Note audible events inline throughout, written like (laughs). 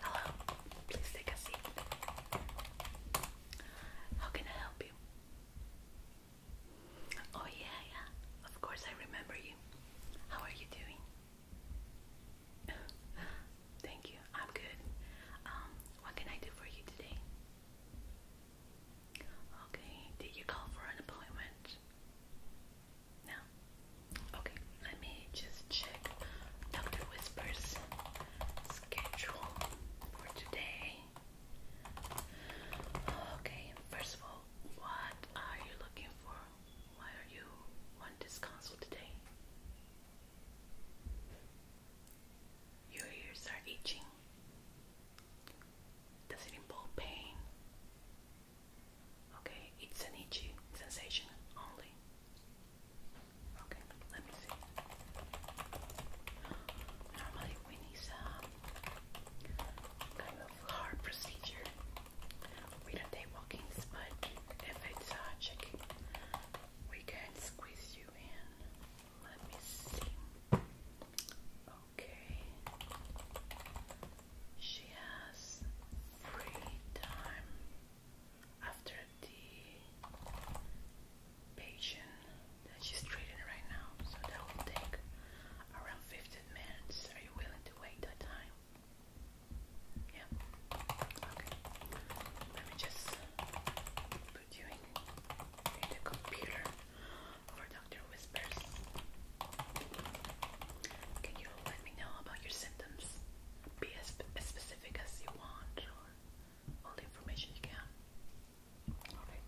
Hello, please take a seat. How can I help you? Oh, yeah, yeah, of course I remember you. How are you doing? Thank you. I'm good. Um, what can I do for you today? Okay. Did you call for an appointment? No. Okay. Let me just check Dr. Whisper's schedule for today. Okay. First of all, what are you looking for? Why are you want this consult today? Your ears are itching. Does it involve pain? Okay, it's an itchy sensation only. Okay, let me see. Normally, when it's a kind of hard procedure, we don't take walk-ins, if it's a we can not squeeze you in. Let me see. Okay. She has free time after the patient that she's treating right now. So that will take around 15 minutes. Are you willing to wait that time? Yeah. Let me just put you in, the computer for Dr. Whispers. Can you let me know about your symptoms? Be as, specific as you want, all the information you can. Alright.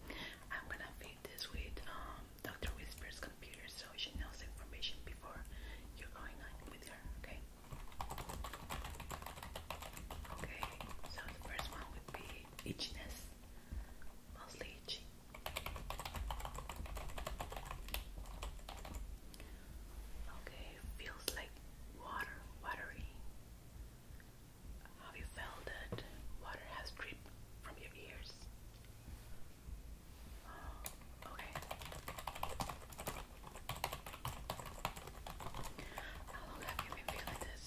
I'm gonna feed this with um, Dr. Whisper's computer so she knows the information before you're going on with her, okay? Okay, so the first one would be itchiness, mostly itchy. Okay, feels like water, watery. Have you felt that water has dripped from your ears? okay. How long have you been feeling this?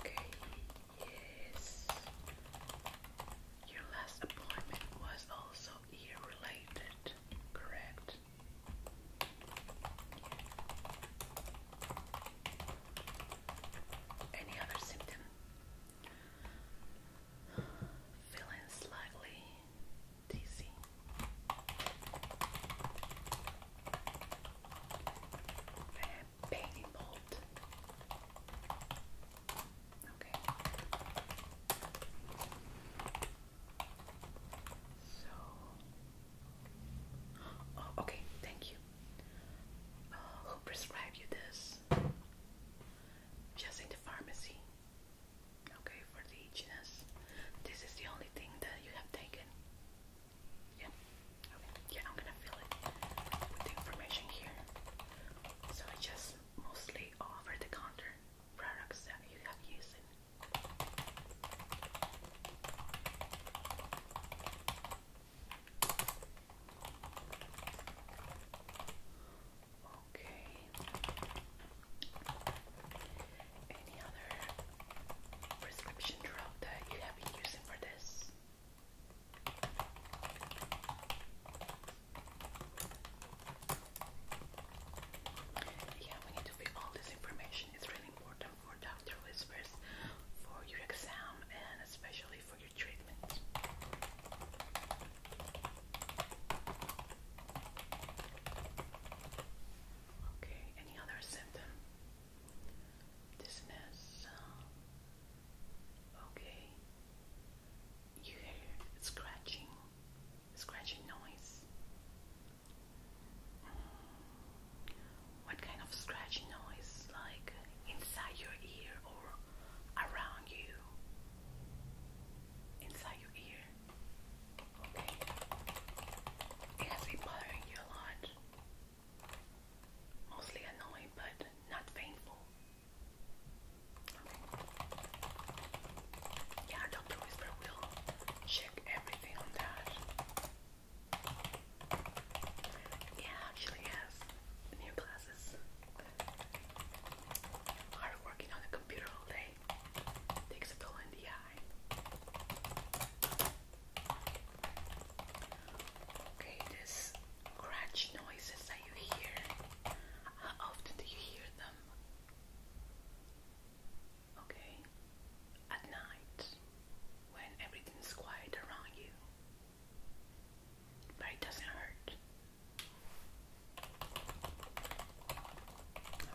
Okay, yes. Your last appointment was also ear related, correct? Any other symptom? feeling slightly dizzy. And pain bolt. Okay. So. Oh, okay. Thank you. Uh, who prescribed you this? Just pharmacy. Okay, for the itchiness. This is the only thing that you have taken. Yeah. Okay. Yeah, I'm gonna fill it with the information here. So it's just mostly over the counter products that you have used. Okay. Any other prescription drug that you have been using for this? Yeah, we need to fill all this information. It's really important for Dr. Whispers for your exam and especially for your Okay, any other symptom? Dizziness. Okay. You hear scratching, scratching noise. Hmm. What kind of scratching noise? Like inside your ear or around you? inside your ear. Okay. It has been bothering you a lot. Mostly annoying, but not painful. Okay. Yeah, Dr. Whisper will check everything on that. Yeah, actually has new glasses. Hard working on the computer all day takes a toll in the eye. Okay, this crunch noises that you hear. How often do you hear them? Okay, at night when everything's quiet around you but it doesn't hurt.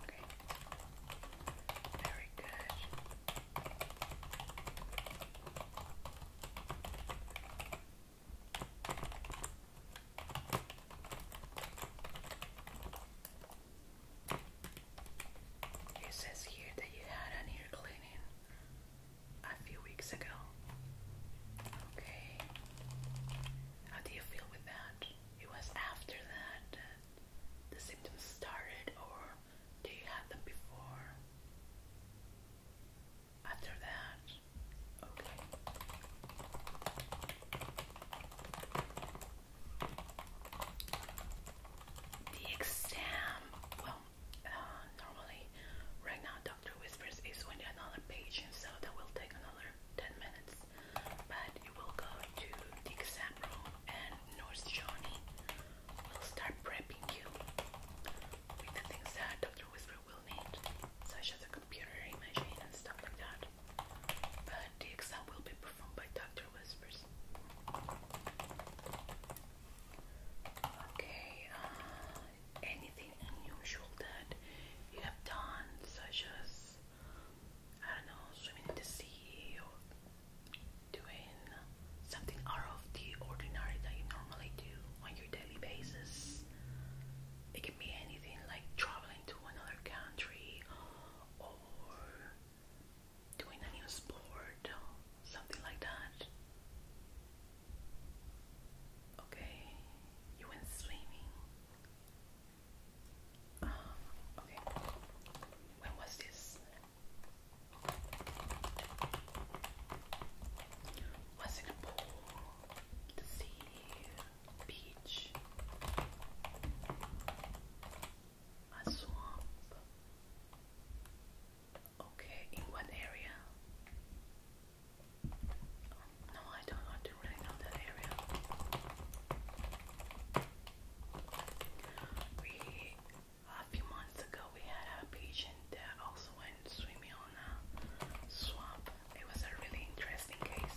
Okay, very good. It says here that you had an ear cleaning a few weeks ago. Okay. How do you feel with that? It was after that the symptoms started, or do you have them before? After that? Okay. The exam, well, uh, normally right now doctor whispers is when another patient, so that will take another 10 minutes. But you will go to the exam room and Nurse Johnny will start prepping you with the things that Dr. Whisper will need, such as a computer imaging and stuff like that. But the exam will be performed by Dr. Whispers. Okay, uh, anything unusual that you have done, such as I don't know, swimming in the sea or doing something out of the ordinary that you normally do on your daily basis. It can be anything like traveling to another country or doing a new sport, something like that. Okay, you went swimming. Um, okay, when was this? Was it a pool, the sea, beach, a swamp? Okay, in what area? No, I don't want to really know that area. We a few months ago we had a pigeon that also went swimming on a swamp. It was a really interesting case.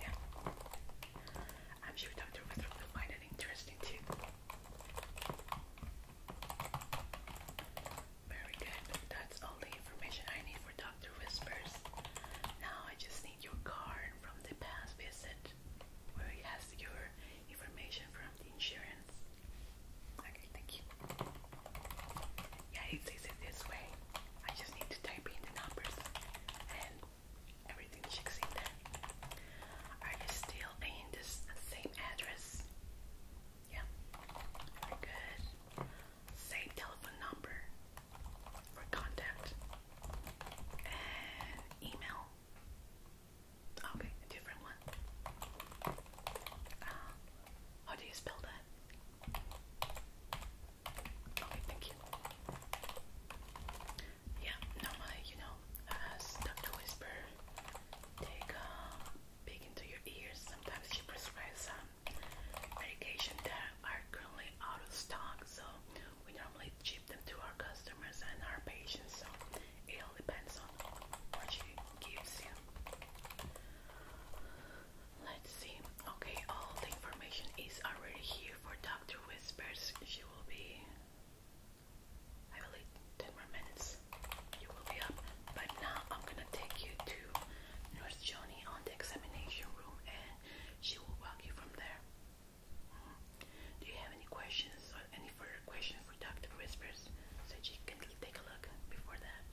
Yeah. I'm sure Dr. Withrow will find it interesting too. Very good. That's all the information I need for Dr. Whispers. Now I just need your card from the past visit where it has your information from the insurance. Okay, thank you. Yeah, it says it this way. I just need to type in the numbers and everything checks in there. Are you still in this same address? Yeah. good. Same telephone number for contact and email. Okay, different one. Uh, how do you spell that? Okay, thank you. Yeah, normally, you know, as uh, Dr. Whisper, take um, big into your ears. Sometimes she prescribes some um, medication that are currently out of stock, so we normally ship them to our customers and our patients. So it all depends on what she gives you. Let's see. Okay, all the information is already here for Dr. Whispers. She will be, I believe, 10 more minutes, you will be up. But now I'm gonna take you to Nurse Joni on the examination room and she will walk you from there. Do you have any questions or any further questions for Dr. Whispers so she can take a look before that?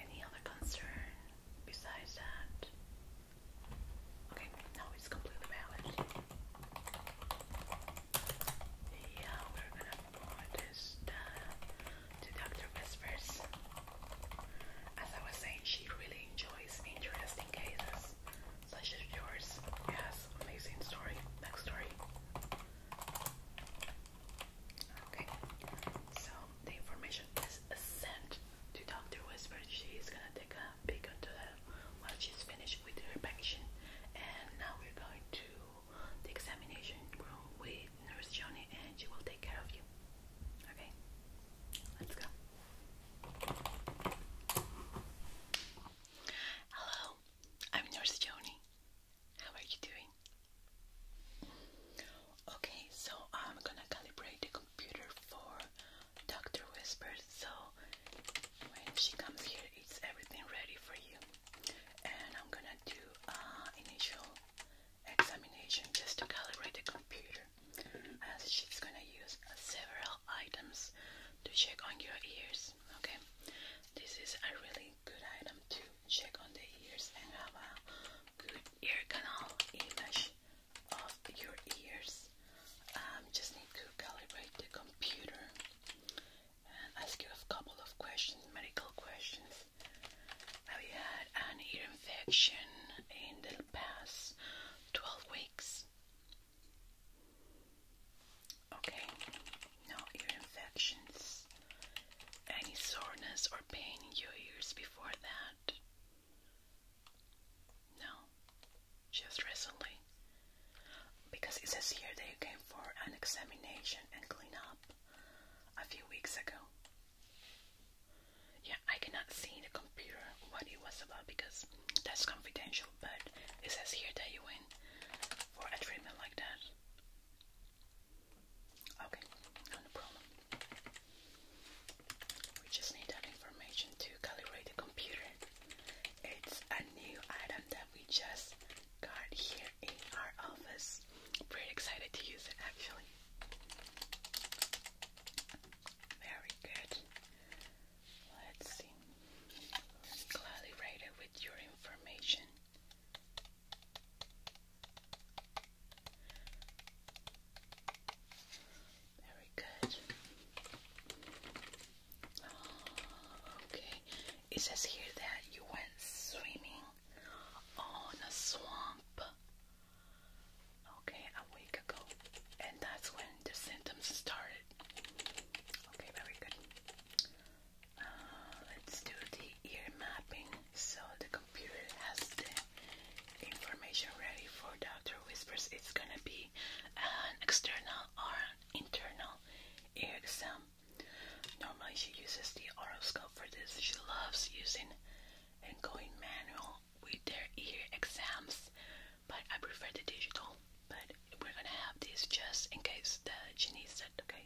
Any other concern besides that? Okay, now it's completely valid. Yeah, we're gonna pour this uh, to Dr. Whispers. As I was saying, she really enjoys interesting cases, such as yours. Yes, amazing story. Next story. Okay, so the information is sent to Dr. Whispers. She's gonna take a peek into that while she's finished with her packaging, and now we're going to the examination room with Nurse Johnny and she will take care of you. Okay? Let's go. Hello, I'm Nurse Johnny. How are you doing? Okay, so I'm gonna calibrate the computer for Dr. Whisper so when she comes here, it's everything ready for you and I'm gonna do uh, initial examination just to calibrate the computer as she's gonna use several items to check on your ears okay this is a really good item to check on the ears and have a good ear canal image of your ears I um, just need to calibrate the computer ask you a couple of questions, medical questions. Have you had an ear infection in the past 12 weeks? Okay, no ear infections. Any soreness or pain in your ears before that? No, just recently. Because it says here that you came for an examination and clean up a few weeks ago. Yeah, I cannot see the computer what it was about because that's confidential, but it says here that you went for a treatment like that. Okay, no problem. We just need that information to calibrate the computer. It's a new item we just got here in our office. Very excited to use it actually. Very good. Let's see. Collaborated with your information. Very good. Oh, okay. It says here that you went swimming on a swamp. Okay, a week ago. And that's when the symptoms started. Okay, very good. Uh, let's do the ear mapping. So the computer has the information ready for Dr. Whispers. It's gonna be an external or an internal earexam. Normally she uses the horoscope for this. She loves using and going manual with their ear exams, but I prefer the digital. But we're gonna have this just in case the she said, okay?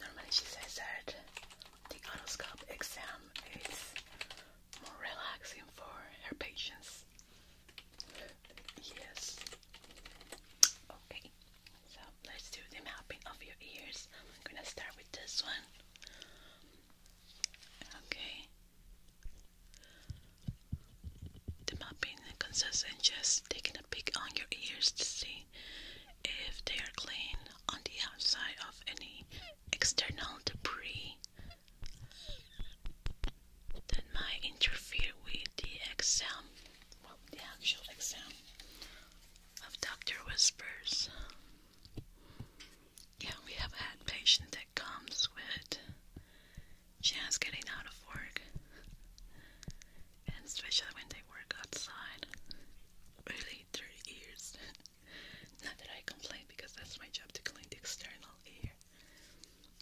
Normally she says that the horoscope exam is more relaxing for her patients. Yes. Okay. So let's do the mapping of your ears. I'm gonna start with this one. Okay. The mapping consists in just taking a peek on your ears to see if they are clean on the outside of any external debris that might interfere with the exam, the actual exam of Dr. Whispers. Yeah, we have had patients that comes with just getting out of work, and especially when they work outside, really dirty ears. (laughs) Not that I complain because that's my job to clean the external ear,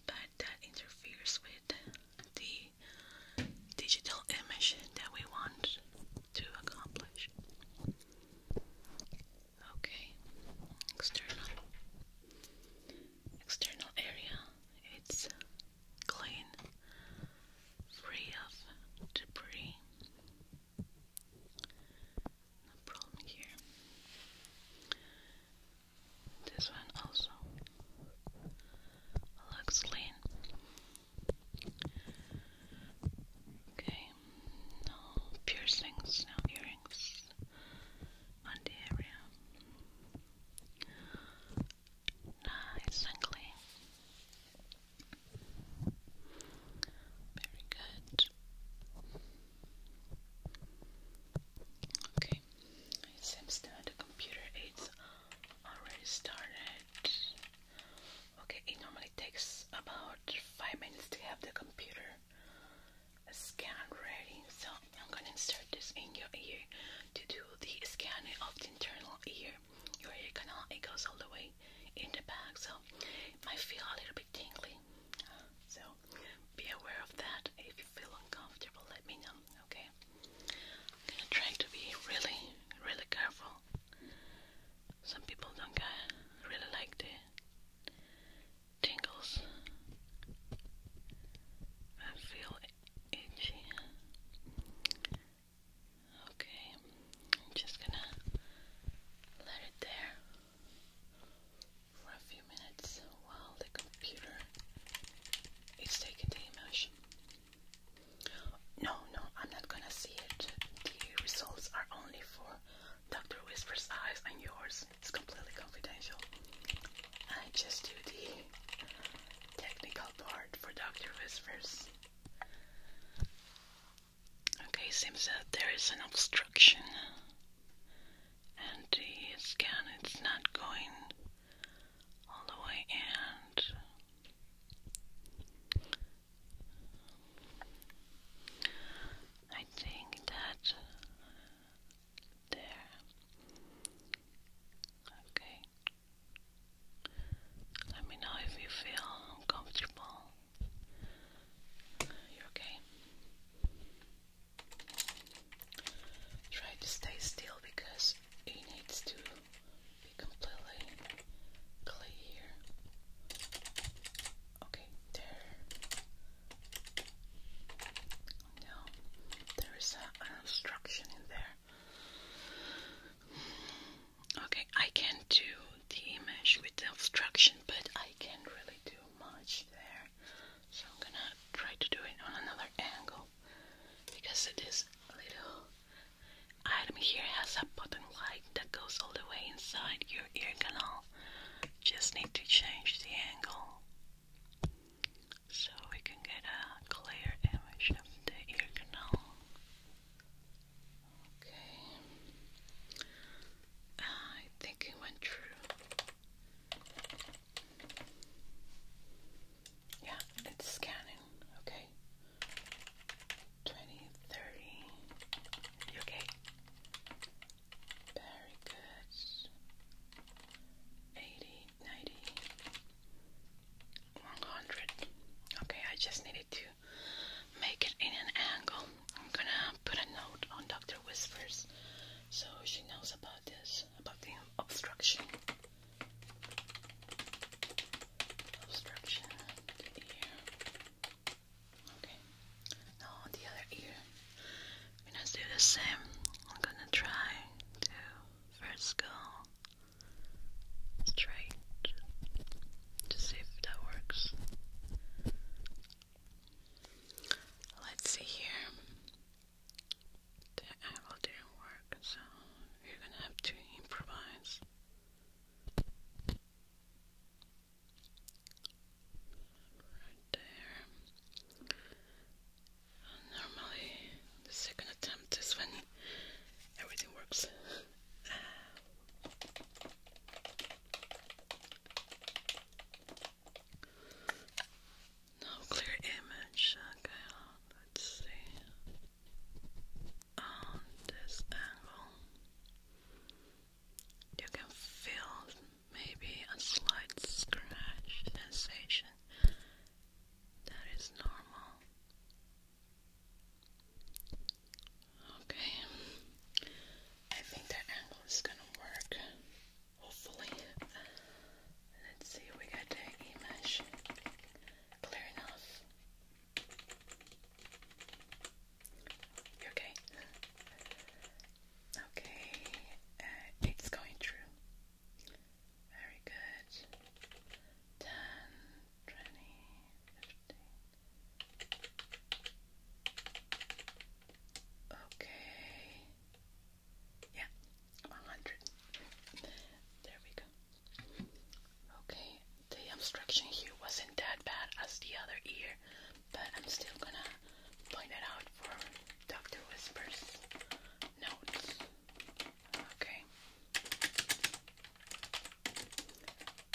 but that interferes with the digital image that we want to accomplish. Okay, external. External area, it's clean, free of debris. No problem here. This one also looks clean. Okay, no piercings, no earrings on the area. Nice and clean. Very good. Okay, it seems that the computer is already started. Okay, it normally takes about five minutes to have the computer scan ready. So I'm gonna insert this in your ear to do the scanning of the internal ear. Your ear canal it goes all the way in the back, so it might feel a little bit a bit tingly. So be aware of that. If you feel uncomfortable, let me know, okay? I'm gonna try to be really, really careful. Some people don't really like the tingles. I feel itchy. Okay, I'm just gonna let it there for a few minutes while the computer is taking the immersion. No, no, I'm not gonna see it. The results are only for Dr. Whisper's eyes and yours. It's completely confidential. I just do the technical part for Dr. Whisper's. Okay, seems that there is an obstruction and the scan it's not going all the way in. I think that there. Okay. Let me know if you feel uncomfortable. you okay. Try to stay still because it needs to be completely clear. Okay, there. Now there is an obstruction in there. Okay, I can do the image with the obstruction, but I can't really do much there. So I'm gonna try to do it on another angle because this little item here has a button light that goes all the way inside your ear canal. Just need to change the angle so we can get a clear image of the ear canal. Okay. I think it went through. Yeah, it's scanning. Okay. 20, You okay? Very good. 80, Okay, I just needed to make it in an angle. I'm gonna put a note on Dr. Whispers so she knows about this, about the obstruction. Obstruction of Okay. Now the other ear, we're gonna do the same. I'm gonna try to first go straight to see if that works. Let's see here. That owl didn't work, so you're gonna have to improvise. Right there. Normally, the second attempt is when everything works. No clear image. Okay, let's see. On this angle, you can feel maybe a slight scratch sensation. That is normal. Okay, I think that angle is gonna work hopefully. Let's see, we got the image clear enough. okay? Okay, uh, it's going through. Very good. 10, Okay. Yeah, 100. There we go. Okay, the obstruction here wasn't that bad as the other ear, but I'm still gonna point it out for Dr. Whisper's notes. Okay.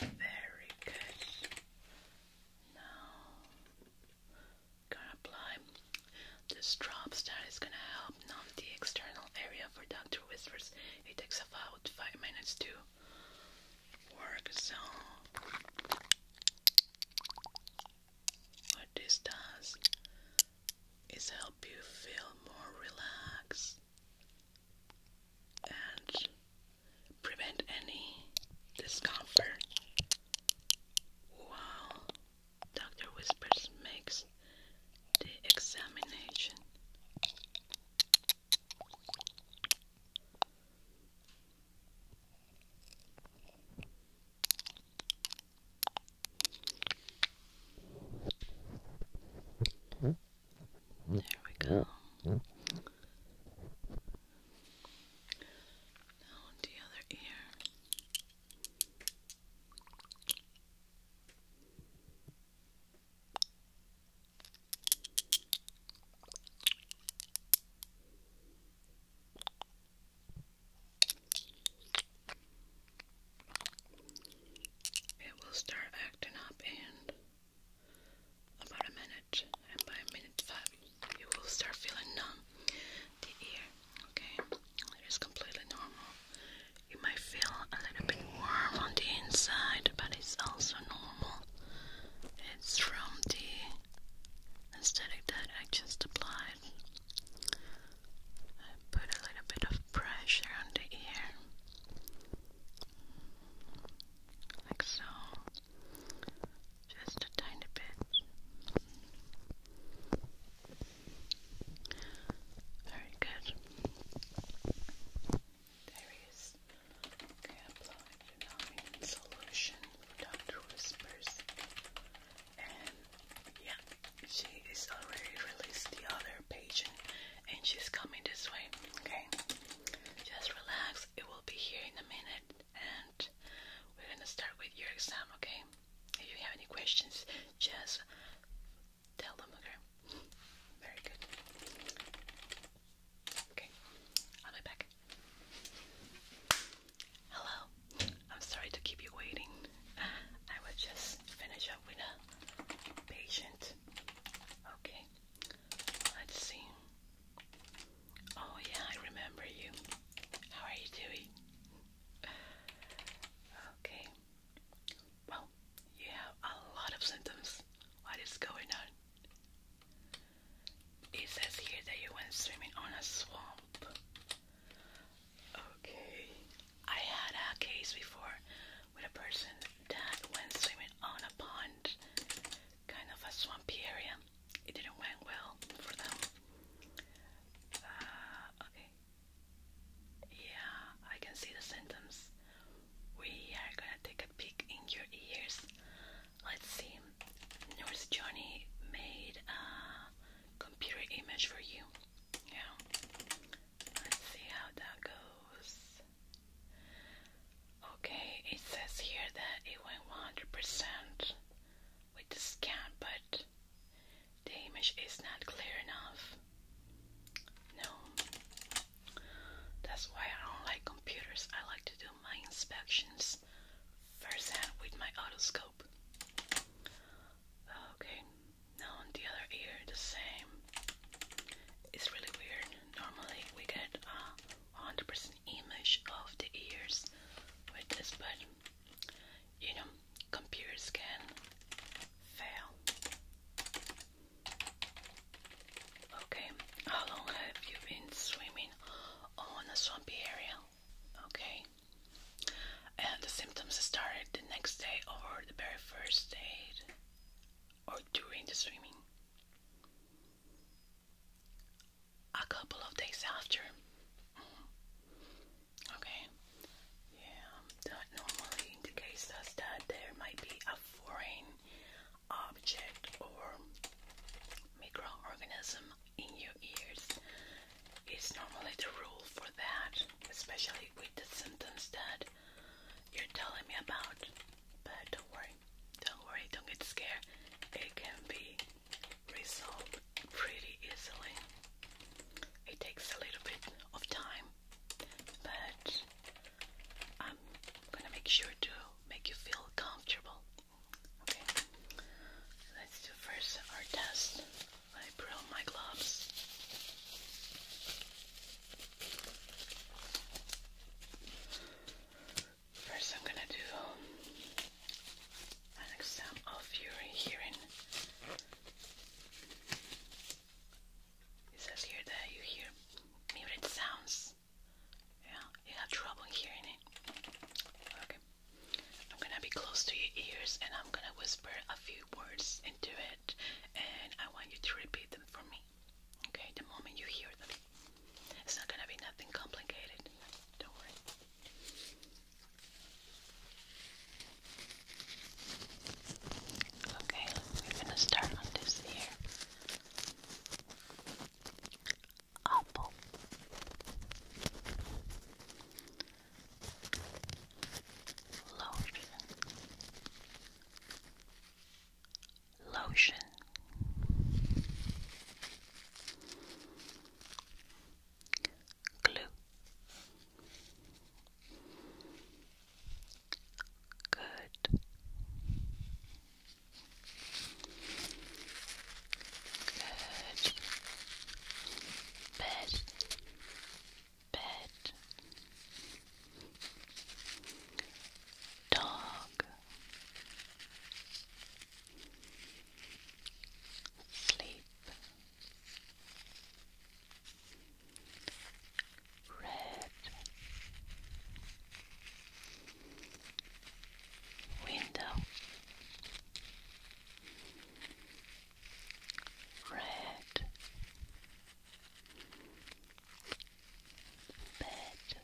Very good. Now gonna apply this drops that is gonna help numb the external area for Dr. Whispers. It takes about five minutes to work, so what this does is help you feel more relaxed and prevent any discomfort Wow, Dr. Whispers makes the examination. There we go. Now oh, the other ear. It will start acting up in about a minute and by minute five, you will start feeling numb the ear. Okay, it is completely normal. You might feel a little bit warm on the inside, but it's also normal. It's from the aesthetic that I just applied. I put a little bit of pressure on the ear, like so. Just a tiny bit. Very good. There is okay, apply solution Dr. Whispers. And yeah, she is already released the other patient and she's coming this way. Okay. Just relax. It will be here in a minute and we're gonna start with your exam, okay? If you have any questions, just tell them, okay? Very good. Okay, I'll be back. Hello, I'm sorry to keep you waiting. I will just finish up with a patient. Okay, let's see. Oh, yeah, I remember you. How are you doing? Okay. Well, you have a lot of symptoms. What is going on? It says here that you went swimming on a swamp. Okay. I had a case before with a person that went swimming on a pond, kind of a swampy area it didn't went well for them. Uh, okay. Yeah, I can see the symptoms. We are gonna take a peek in your ears. Let's see. Nurse Johnny made a computer image for you. Yeah. Let's see how that goes. Okay, it says here that it went 100% with the scan, but the image is not clear enough. No, that's why I don't like computers. I like to do my inspections firsthand with my otoscope. Okay, now on the other ear, the same. It's really weird. Normally, we get 100% uh, image of the ears with this, but you know, computers can fail. Okay, how long have you been swimming on a swampy area? Okay, and the symptoms started the next day or the very first day or during the swimming a couple of days after. Okay, yeah, that normally indicates us that there might be a foreign object or microorganism in your ears. It's normally the rule for that, especially with the symptoms that you're telling me about. But don't worry, don't worry, don't get scared. It can be resolve pretty easily. It takes a little bit of time, but I'm gonna make sure to make you feel comfortable. Okay, let's do first our test. I put my gloves. First, I'm gonna do um, an exam of your hearing. It says here that you hear muted sounds. Yeah, you have trouble hearing it. Okay. I'm gonna be close to your ears and I'm gonna whisper a few words into it and I want you to repeat them for me. Okay, the moment you hear them. It's not going to be nothing complicated. Don't worry. Okay, we're going to start on this here. Apple. Lotion. Lotion glue good good bed bed dog sleep, red, window, red, bed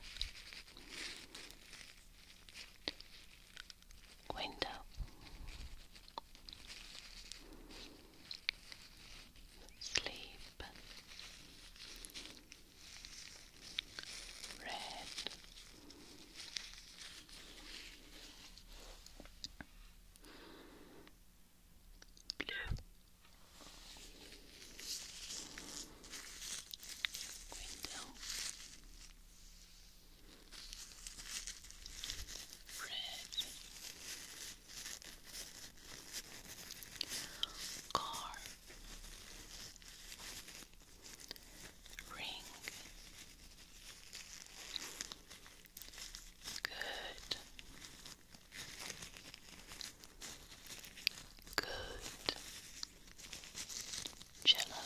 window. Sleep red. Blue. Window Red car ring good good jello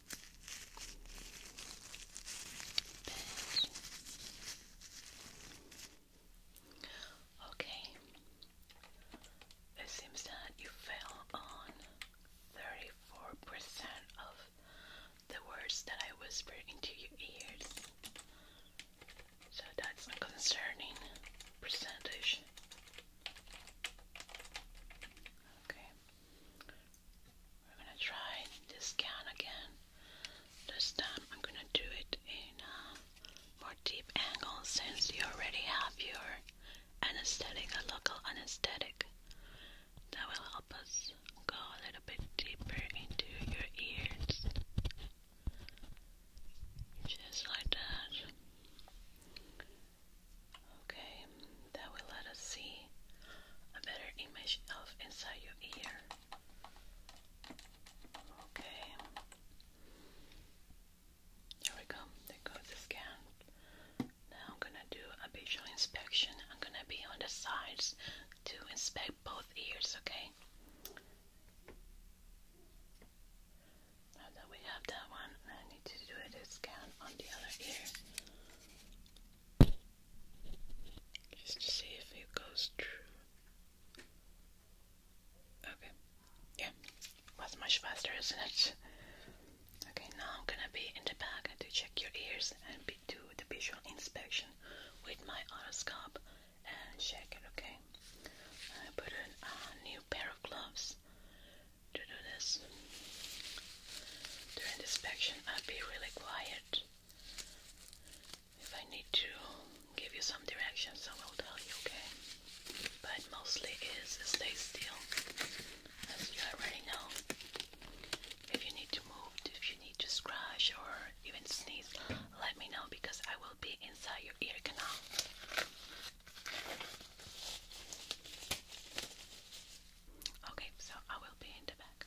Okay. It seems that you fell on 34% of the words that I whispered into your ears. So that's a concerning percentage. Okay. We're gonna try this can again. This time I'm gonna do it in a uh, more deep angle since you already have your anesthetic, a local anesthetic. That will help us go a little bit deeper into your ears. Just like that. Okay, that will let us see a better image of inside your ear. Okay, there we go. There goes the scan. Now I'm gonna do a visual inspection. I'm gonna be on the sides to inspect both ears, okay? Now that we have that one, I need to do a scan on the other ear. Just to see if it goes through. Okay. Yeah. Was much faster, isn't it? Okay, now I'm gonna be in the back to check your ears and do the visual inspection with my otoscope and check it, okay? I put in a new pair of gloves to do this. During the inspection, I'll be really quiet. If I need to give you some directions, I will tell you, okay? But mostly is stay still, as you already know. If you need to move, if you need to scratch or even sneeze, let me know because I will be inside your ear canal. Okay, so I will be in the back.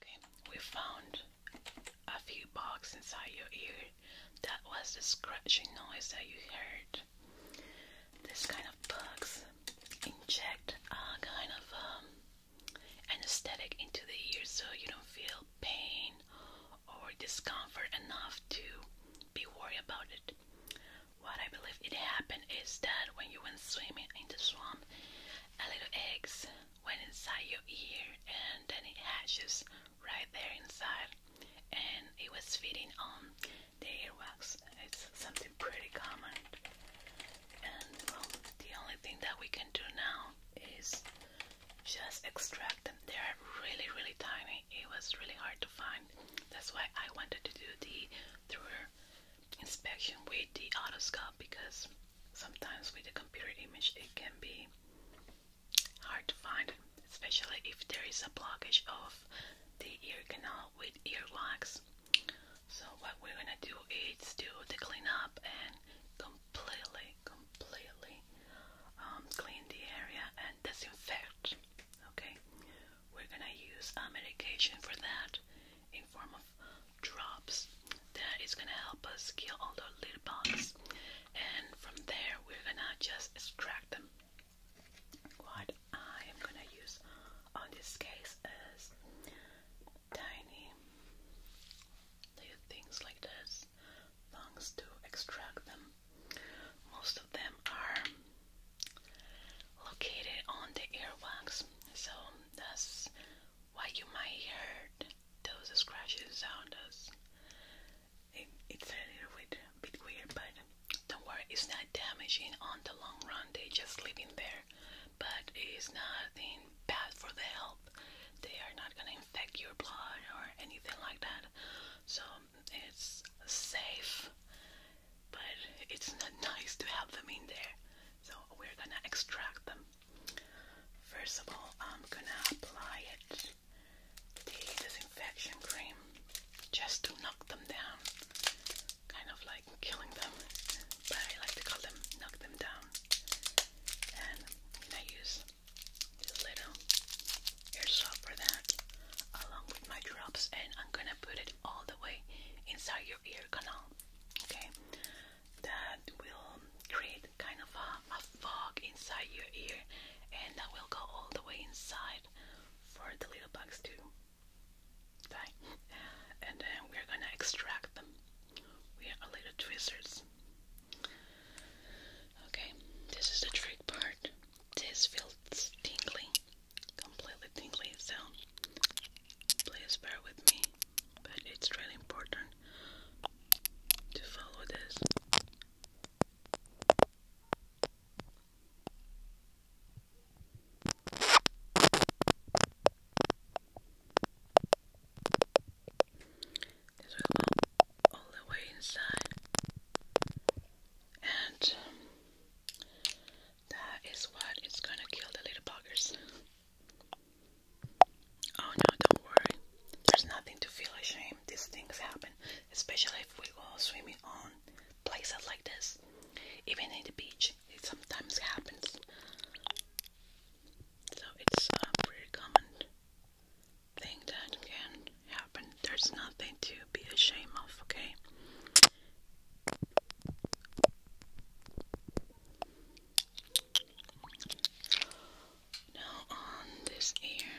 Okay, we found a few bugs inside your ear. That was the scratching noise that you heard. This kind of bugs inject a kind of um, anesthetic into the ear so you don't feel pain or discomfort enough to be worried about it. What I believe it happened is that when you went swimming in the swamp, a little eggs went inside your ear and then it hatches right there inside and it was feeding on the earwax. It's something pretty common and the only thing that we can do now is just extract them. They're really, really tiny. It was really hard to find. That's why I wanted to do the through inspection with the autoscope because sometimes with the computer image it can be hard to find, especially if there is a blockage of the ear canal with earwax. So what we're gonna do is do the clean up and completely, completely um, clean the area and disinfect. Okay, we're gonna use a medication for that in form of drops. That is gonna help us kill all the little bugs, and from there we're gonna just extract them. What I am gonna use on this case is tiny they do things like this, lungs to extract them. Most of them are located on the earwax, so that's why you might hear those scratching sounds. it's a little bit, weird, but don't worry, it's not damaging on the long run. They are just living there but it's nothing bad for the health. They are not gonna infect your blood or anything like that. So it's safe, but it's not (laughs) nice to have them in there. So we're gonna extract them. First of all, I'm gonna apply it the disinfection cream just to knock them down, kind of like killing them but I like to call them knock them down. And I use this little airsoft for that, along with my drops, and I'm gonna put it all the way inside your ear canal. Okay, that will create kind of a, a fog inside your ear, and that will go all the way inside for the little bugs too. Right? And then we're gonna extract them. We a little tweezers. Okay, this is the trick part. This feels tingling, completely tingling sound. please bear with me. But it's really important to follow this. This will all the way inside, and that is what is gonna kill the little buggers. Oh no, don't worry. There's nothing to feel ashamed. These things happen, especially if we go swimming on places like this. Even in the beach, it sometimes happens. So it's a pretty common thing that can happen. There's nothing to be ashamed of, okay? Now on this ear.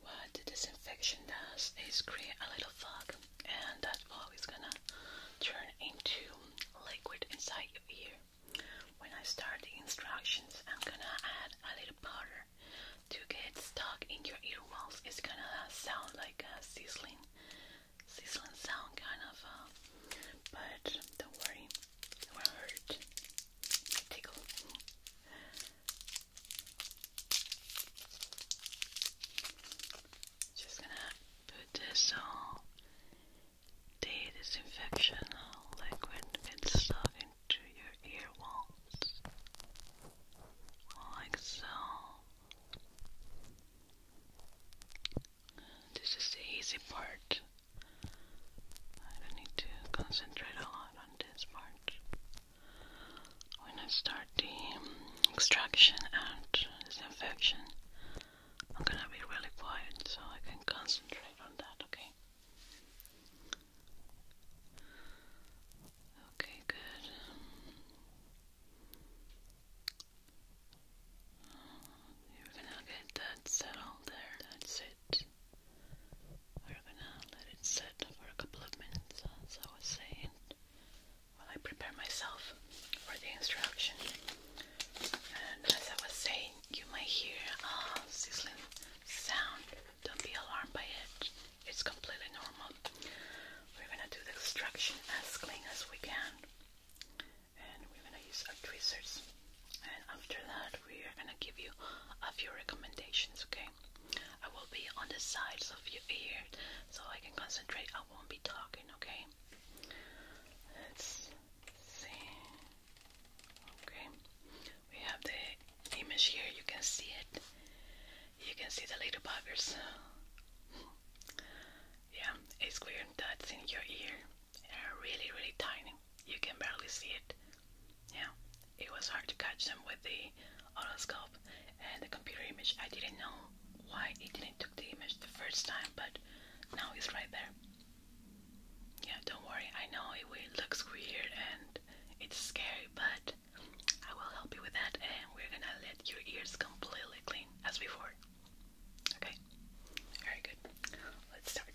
what the disinfection does is create a little fog, and that fog is gonna turn into liquid inside your ear. When I start the instructions, I'm gonna add a little powder to get stuck in your ear walls. It's gonna sound like a sizzling, sizzling sound, kind of, uh, but don't worry, it won't hurt. Tickle. Just gonna put this all the disinfection liquid and stuff into your ear like so. This is the easy part. I don't need to concentrate a lot on this part when I start the um, extraction and disinfection, I'm gonna be really quiet so I can concentrate on that, okay? Okay, good. You're gonna get that settled there. That's it. We're gonna let it set for a couple of minutes, as I was saying while I prepare myself for the instruction. And as I was saying, you might hear a sizzling sound. Don't be alarmed by it. It's completely normal. We're gonna do the extraction as clean as we can. And we're gonna use our tweezers. And after that, we're gonna give you a few recommendations, okay? I will be on the sides of your ear so I can concentrate. I won't be talking, okay? Let's see. Okay, we have the image here. You can see it. You can see the little buggers. (laughs) Yeah, it's weird that's in your ear. They're really, really tiny. You can barely see it. Yeah, it was hard to catch them with the the and the computer image. I didn't know why it didn't took the image the first time, but now it's right there. Yeah, don't worry. I know it looks weird and it's scary, but I will help you with that, and we're gonna let your ears completely clean as before. Okay, very good. Let's start.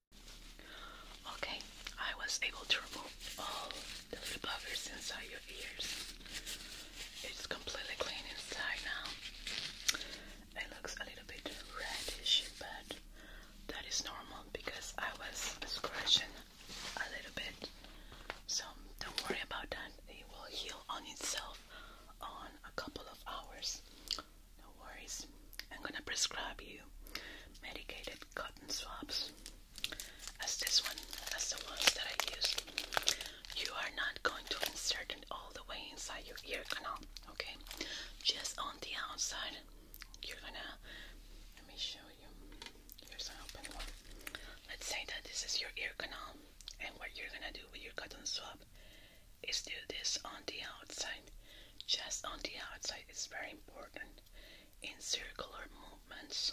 Okay, I was able to remove all the little buggers inside your ears. It's completely clean inside now. It looks a little bit reddish, but that is normal because I was scratching a little bit. So don't worry about that. It will heal on itself on a couple of hours. No worries. I'm gonna prescribe you medicated cotton swabs as this one, as the ones that I use. You are not going to insert it all the way inside your ear canal, okay? Just on the outside. You're gonna let me show you. Here's an open one. Let's say that this is your ear canal, and what you're gonna do with your cotton swab is do this on the outside. Just on the outside It's very important in circular movements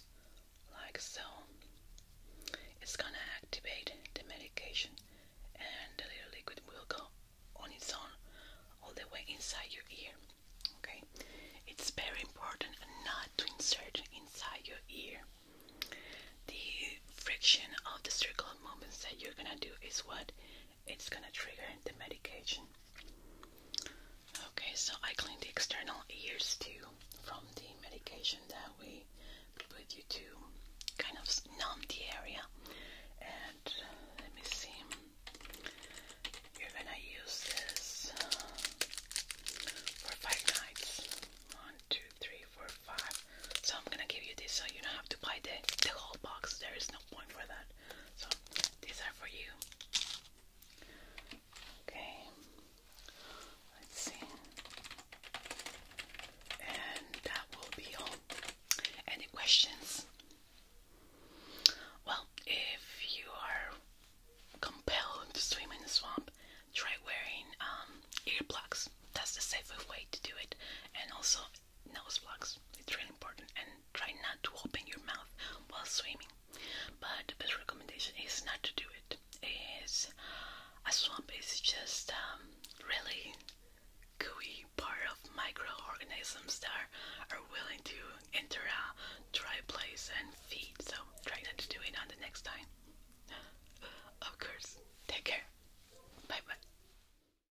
like so. It's gonna activate the medication and the little liquid will go on its own all the way inside your ear. Okay, it's very important not to insert inside your ear. The friction of the circular movements that you're gonna do is what it's gonna trigger the medication. Okay, so I clean the external ears too from the medication that we put you to kind of numb the area. And let me see, you're gonna use this uh, for five nights. One, two, three, four, five. So I'm gonna give you this so you don't have to buy the, the whole box. There is no point for that. So these are for you. Okay. Let's see. And that will be all. Any questions? Well, if you are compelled to swim in the swamp, try wearing um, earplugs. That's the safest way to do it. And also, nose blocks. It's really important. And try not to open your mouth while swimming. But the best recommendation is not to do it. Is a swamp is just um, really gooey part of microorganisms that are willing to enter a dry place and feed. So try not to do it on the next time. Of course. Take care. Bye bye.